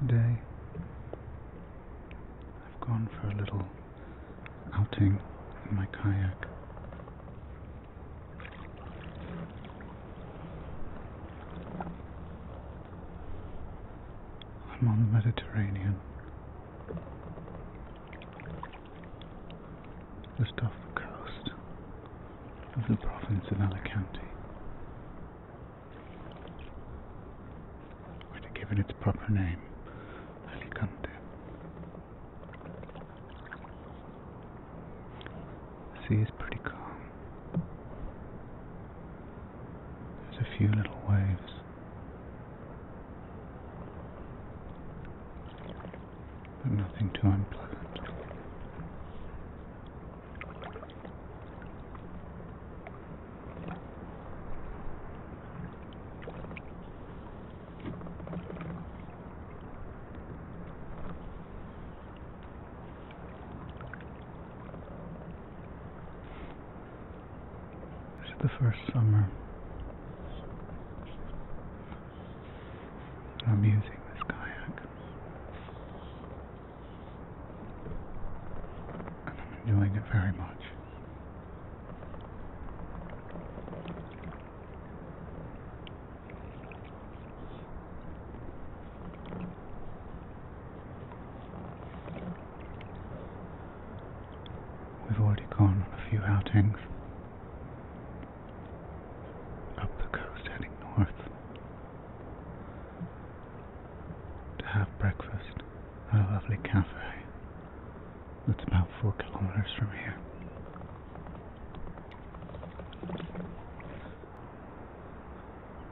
Today I've gone for a little outing in my kayak. I'm on the Mediterranean. Just off the coast of the province of Alicante. Which are given its proper name, Alicante. The sea is pretty calm. There's a few little waves. But nothing too unpleasant. This is the first summer I'm using this kayak. I'm enjoying it very much. We've already gone on a few outings up the coast heading north to have breakfast at a lovely cafe that's about four kilometers from here.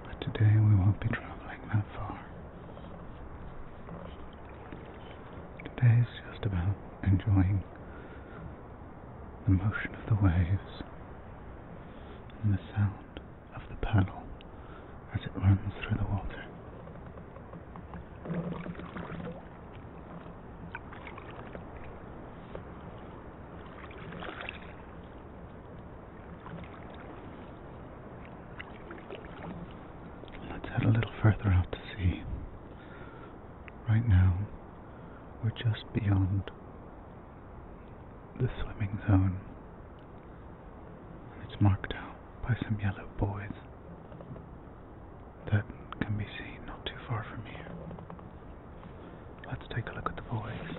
But today we won't be traveling that far. Today is just about enjoying the motion of the waves, and the sound of the paddle as it runs through the water. Let's head a little further out to sea. Right now, we're just beyond the swimming zone. It's marked out by some yellow buoys that can be seen not too far from here. Let's take a look at the buoys.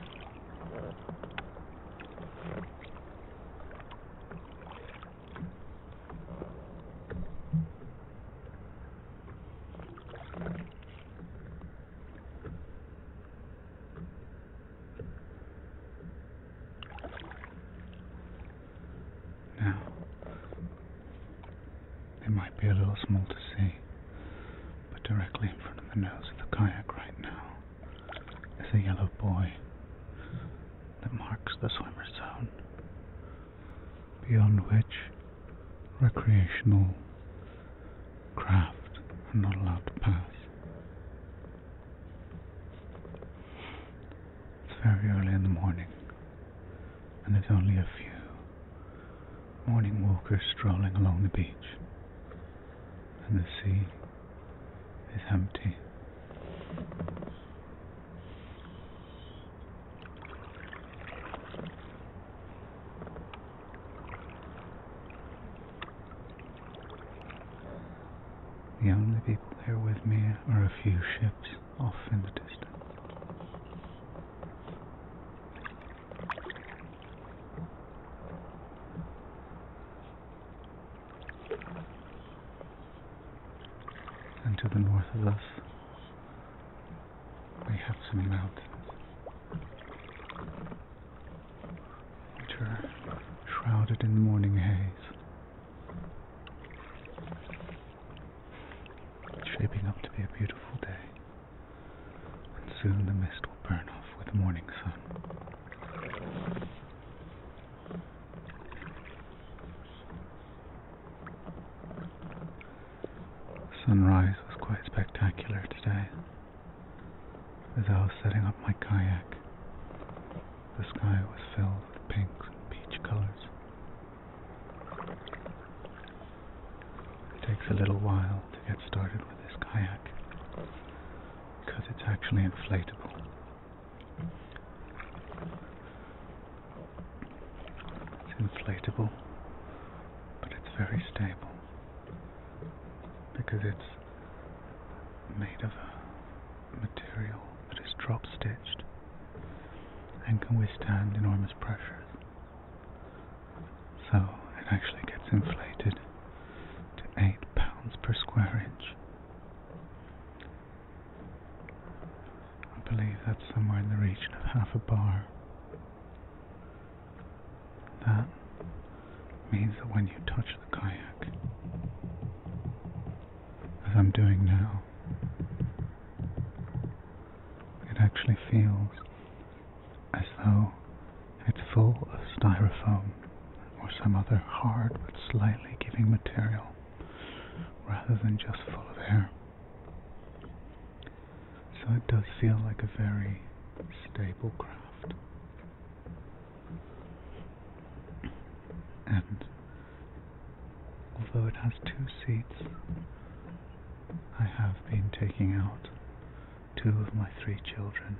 Now, it might be a little small to see, but directly in front of the nose of the kayak right now is a yellow buoy that marks the swimmer's zone, beyond which recreational craft are not allowed to pass. It's very early in the morning, and there's only a few morning walkers strolling along the beach, and the sea is empty. The only people there with me are a few ships off in the distance. And to the north of us, we have some mountains which are shrouded in morning haze. It's shaping up to be a beautiful day, and soon the mist will burn off with morning sun. sunrise was quite spectacular today. As I was setting up my kayak, the sky was filled with pinks and peach colors. It takes a little while to get started with this kayak because it's actually inflatable. It's inflatable, but it's very stable because it's made of a material that is drop stitched and can withstand enormous pressures. So it actually gets inflated to 8 pounds per square inch. I believe that's somewhere in the region of half a bar. That means that when you touch the kayak, as I'm doing now, it actually feels as though it's full of styrofoam or some other hard but slightly giving material rather than just full of air. So it does feel like a very stable craft. And although it has two seats, I have been taking out two of my three children.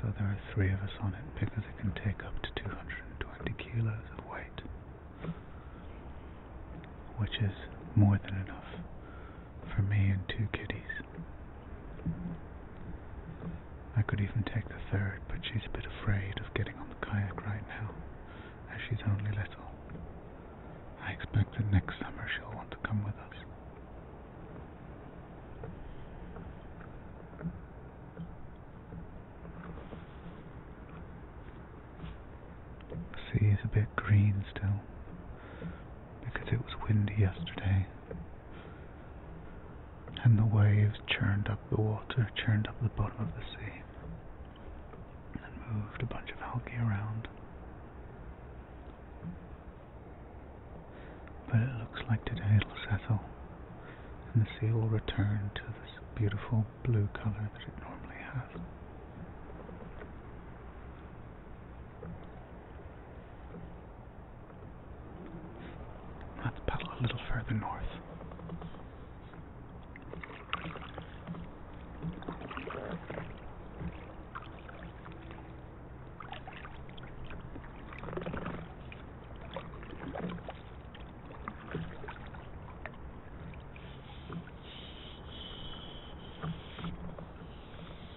So there are three of us on it because it can take up to 220 kilos of weight, which is more than enough for me and two kiddies. I could even take the third, but she's a bit afraid of getting on the kayak right now, as she's only little. I expect that next summer she'll want to come with us. See, sea a bit green still, because it was windy yesterday. And the waves churned up the water, churned up the bottom of the sea, and moved a bunch of algae around. But it looks like today it'll settle, and the sea will return to this beautiful blue color that it normally has. Let's paddle a little further north.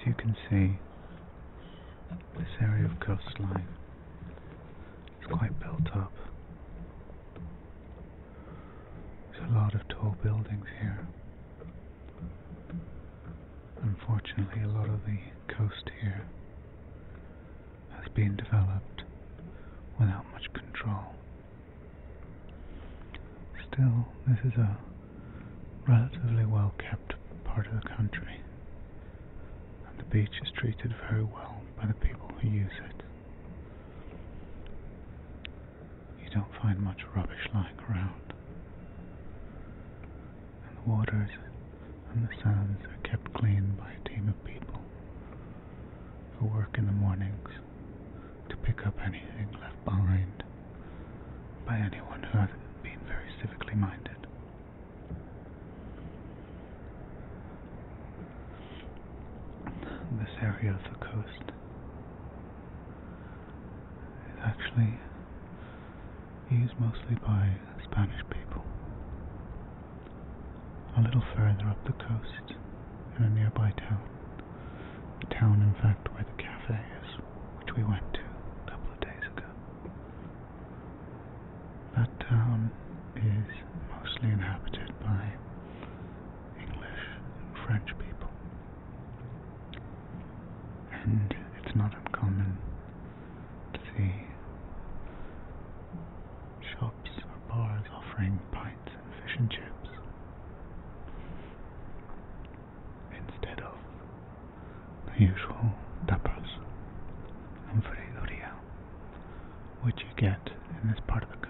As you can see, this area of coastline is quite built up. There's a lot of tall buildings here. Unfortunately, a lot of the coast here has been developed without much control. Still, this is a relatively well kept part of the country, and the beach is treated very well by the people who use it. You don't find much rubbish lying around and the waters and the sands are kept clean by a team of people who work in the mornings to pick up anything left behind by anyone who has been very civically minded. This area of the coast is actually used mostly by Spanish people. A little further up the coast, in a nearby town, the town, in fact, where the cafe is, which we went to a couple of days ago, that town is mostly inhabited by English and French people. And it's not uncommon to see shops or bars offering pints and fish and chips instead of the usual tapas and fridoria which you get in this part of the country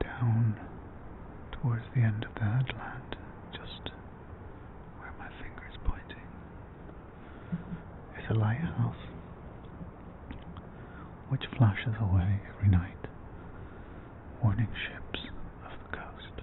down towards the end of the headland, just where my finger is pointing, is a lighthouse which flashes away every night, warning ships of the coast.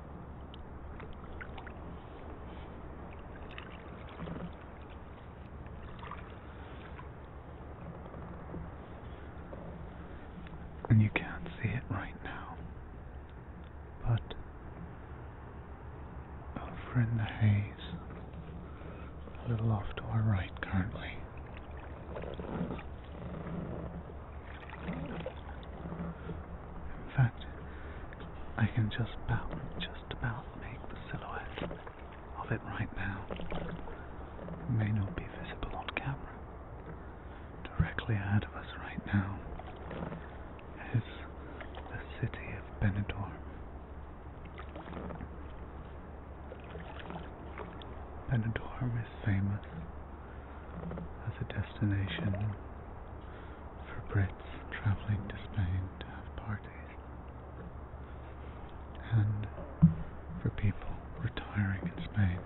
And you can't see it right now, but over in the haze, a little off to our right currently, in fact, I can just about, just about make the silhouette of it right now. It may not be visible on camera. Directly ahead of us right now is the city of Benador. Benador is famous as a destination for Brits traveling to Spain to have parties, and for people retiring in Spain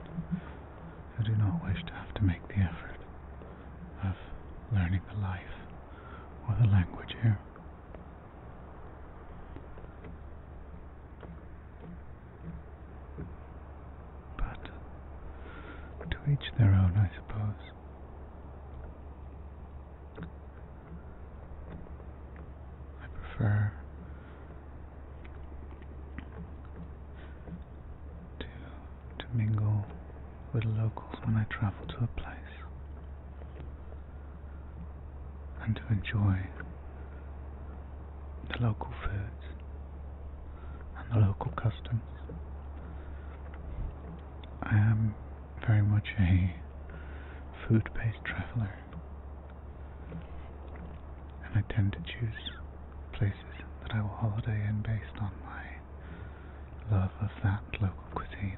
who do not wish to have to make the effort of learning the life or the language here. But to each their own, I suppose. I prefer to to mingle with locals when I travel to a place and to enjoy the local foods and the local customs. I am very much a food based traveler, and I tend to choose places that I will holiday in based on my love of that local cuisine.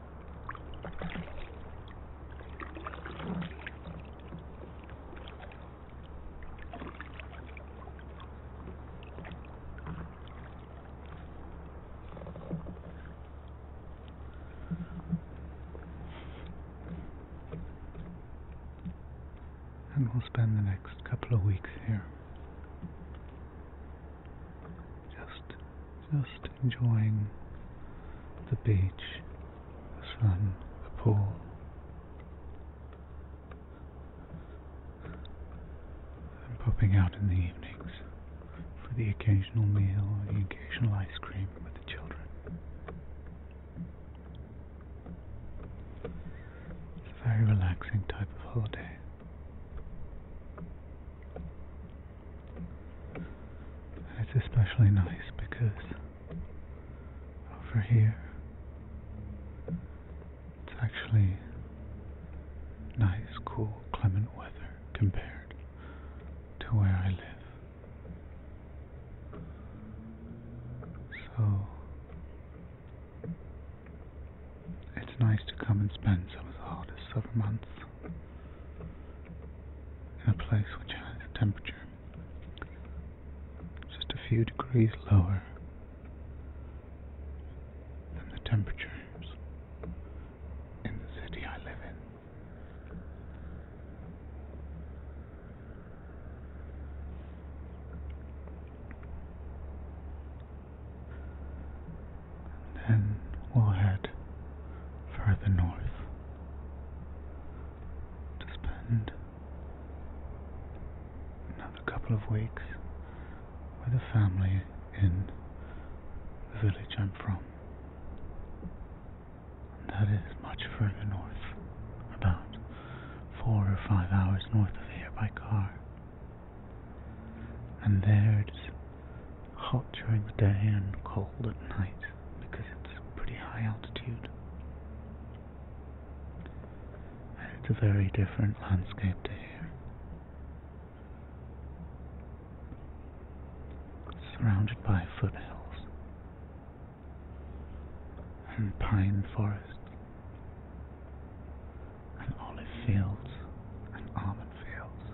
And we'll spend the next couple of weeks here just just enjoying the beach, the sun, the pool. And popping out in the evenings for the occasional meal or the occasional ice cream with the children. It's a very relaxing type of holiday. It's especially nice because over here it's actually nice, cool, clement weather compared to where I live. So it's nice to come and spend some of the hardest summer months in a place which has a temperature just a few degrees lower than the temperature in the city I live in. then we'll head further north to spend another couple of weeks with a family in the village I'm from. that is much further north, about four or five hours north of here by car. And there it is hot during the day and cold at night because it's pretty high altitude. it's a very different landscape here. surrounded by foothills and pine forests and olive fields and almond fields.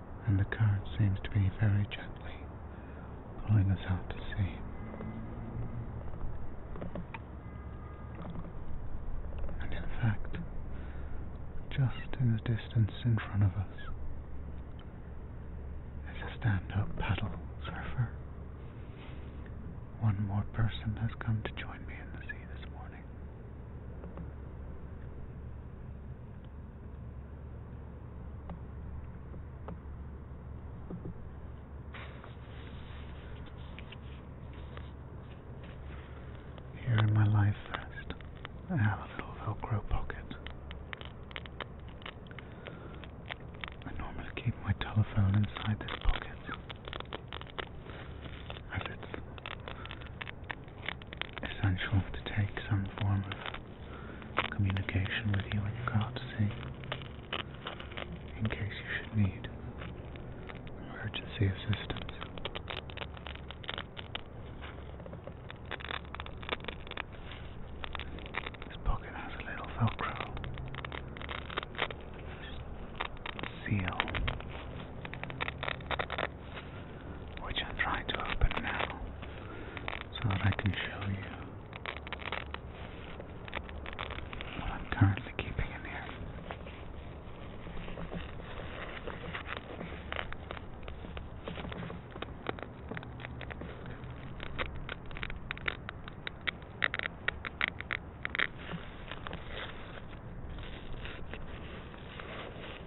and the current seems to be very gently pulling us out to sea. And in fact, just in the distance in front of us is a stand up paddle surfer. One more person has come to join me in the sea this morning. Here in my life vest, I have a little Velcro pocket. I normally keep my telephone inside this pocket. As it's essential to take some form of communication with you and your can in case you should need emergency assistance. This pocket has a little velcro seal, which I'm trying to open now so that I can show you what I'm currently keeping in here.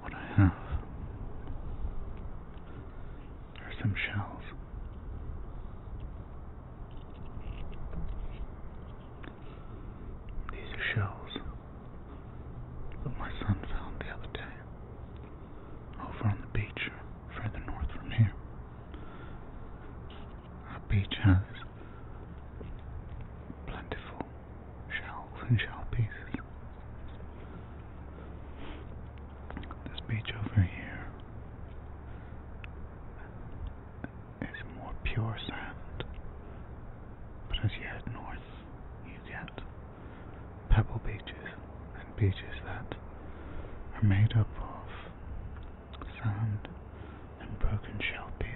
What I have are some shells. These are shells that my son found the other day over on the beach further north from here. Our beach has plentiful shells and shell pieces. This beach over here is more pure sand, but as you head north, you get pebble beaches and beaches that are made up of sand and broken shell pieces.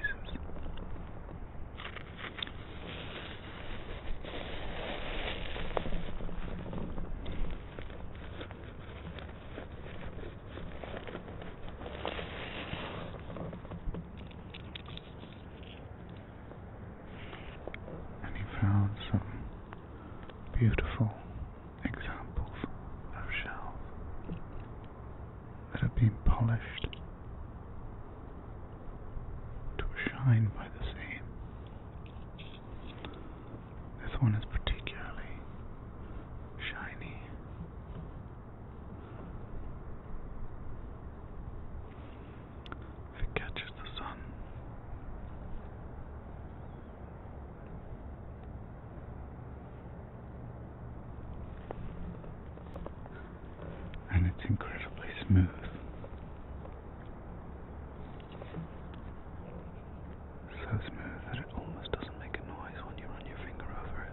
And he found some beautiful examples of shells that have been polished to shine by the sea. This one is particularly shiny. it catches the sun. And it's incredibly smooth so smooth that it almost doesn't make a noise when you run your finger over it.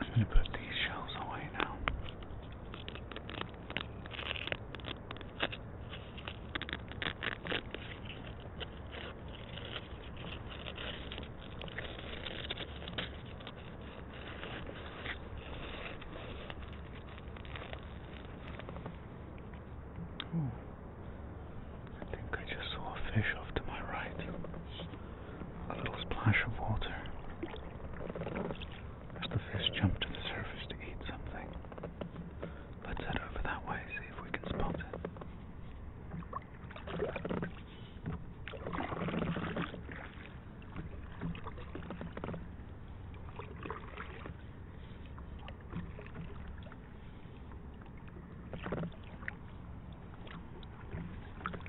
I'm going to put these shells away now. Ooh. I think I just saw a fish off to my right a little splash of water as the fish jump to the surface to eat something. Let's head over that way, see if we can spot it.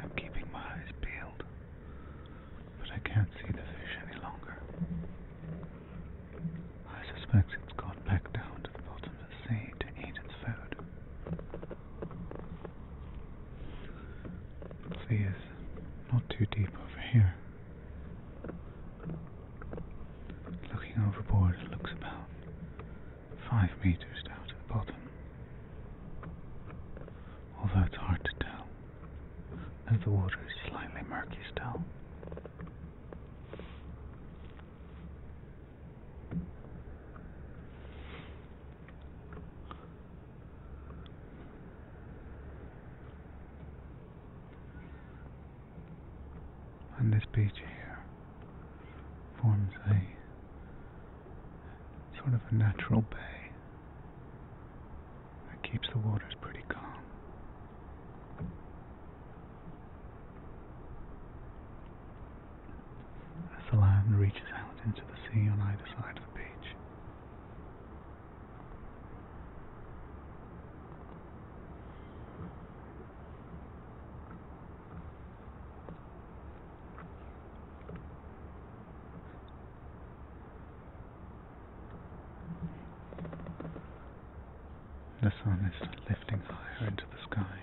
I'm keeping my eyes peeled, but I can't see the fish any longer. I suspect it's gone back down to the bottom of the sea to eat its food. The sea is not too deep over here. Looking overboard, it looks about five meters down to the bottom. Although it's hard to tell, as the water is slightly murky still. And this beach here forms a sort of a natural bay that keeps the waters pretty calm. As the land reaches out into the sea on either side of the beach, the sun is lifting higher into the sky,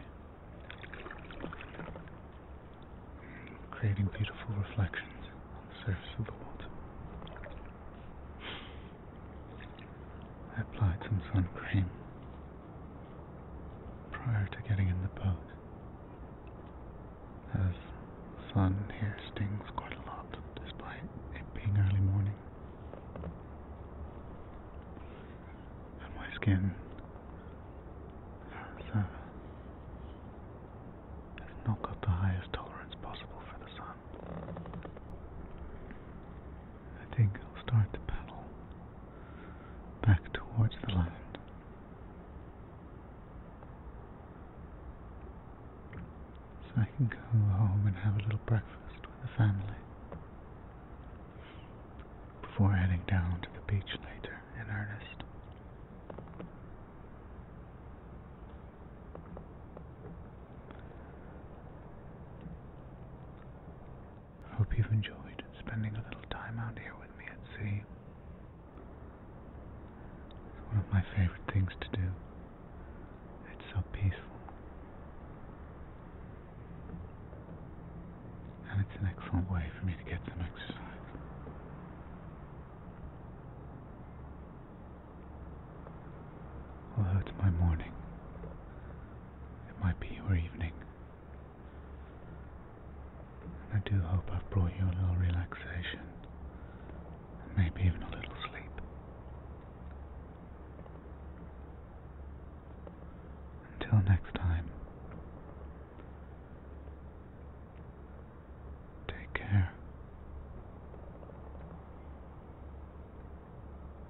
creating beautiful reflections on the surface of the water. I applied some sun cream prior to getting in the boat, as the sun here stings quite a lot despite it being early morning, and my skin has, uh, has not got the highest tolerance possible for the sun. I think I'll start the paddle back towards the land. So I can go home and have a little breakfast with the family before heading down to the beach later in earnest. I Hope you've enjoyed spending a little time out here with me at sea. It's one of my favorite things to do. It's so peaceful. And it's an excellent way for me to get some exercise. Although it's my morning. It might be your evening. I do hope I've brought you a little relaxation. And maybe even a little sleep. Until next time. Take care.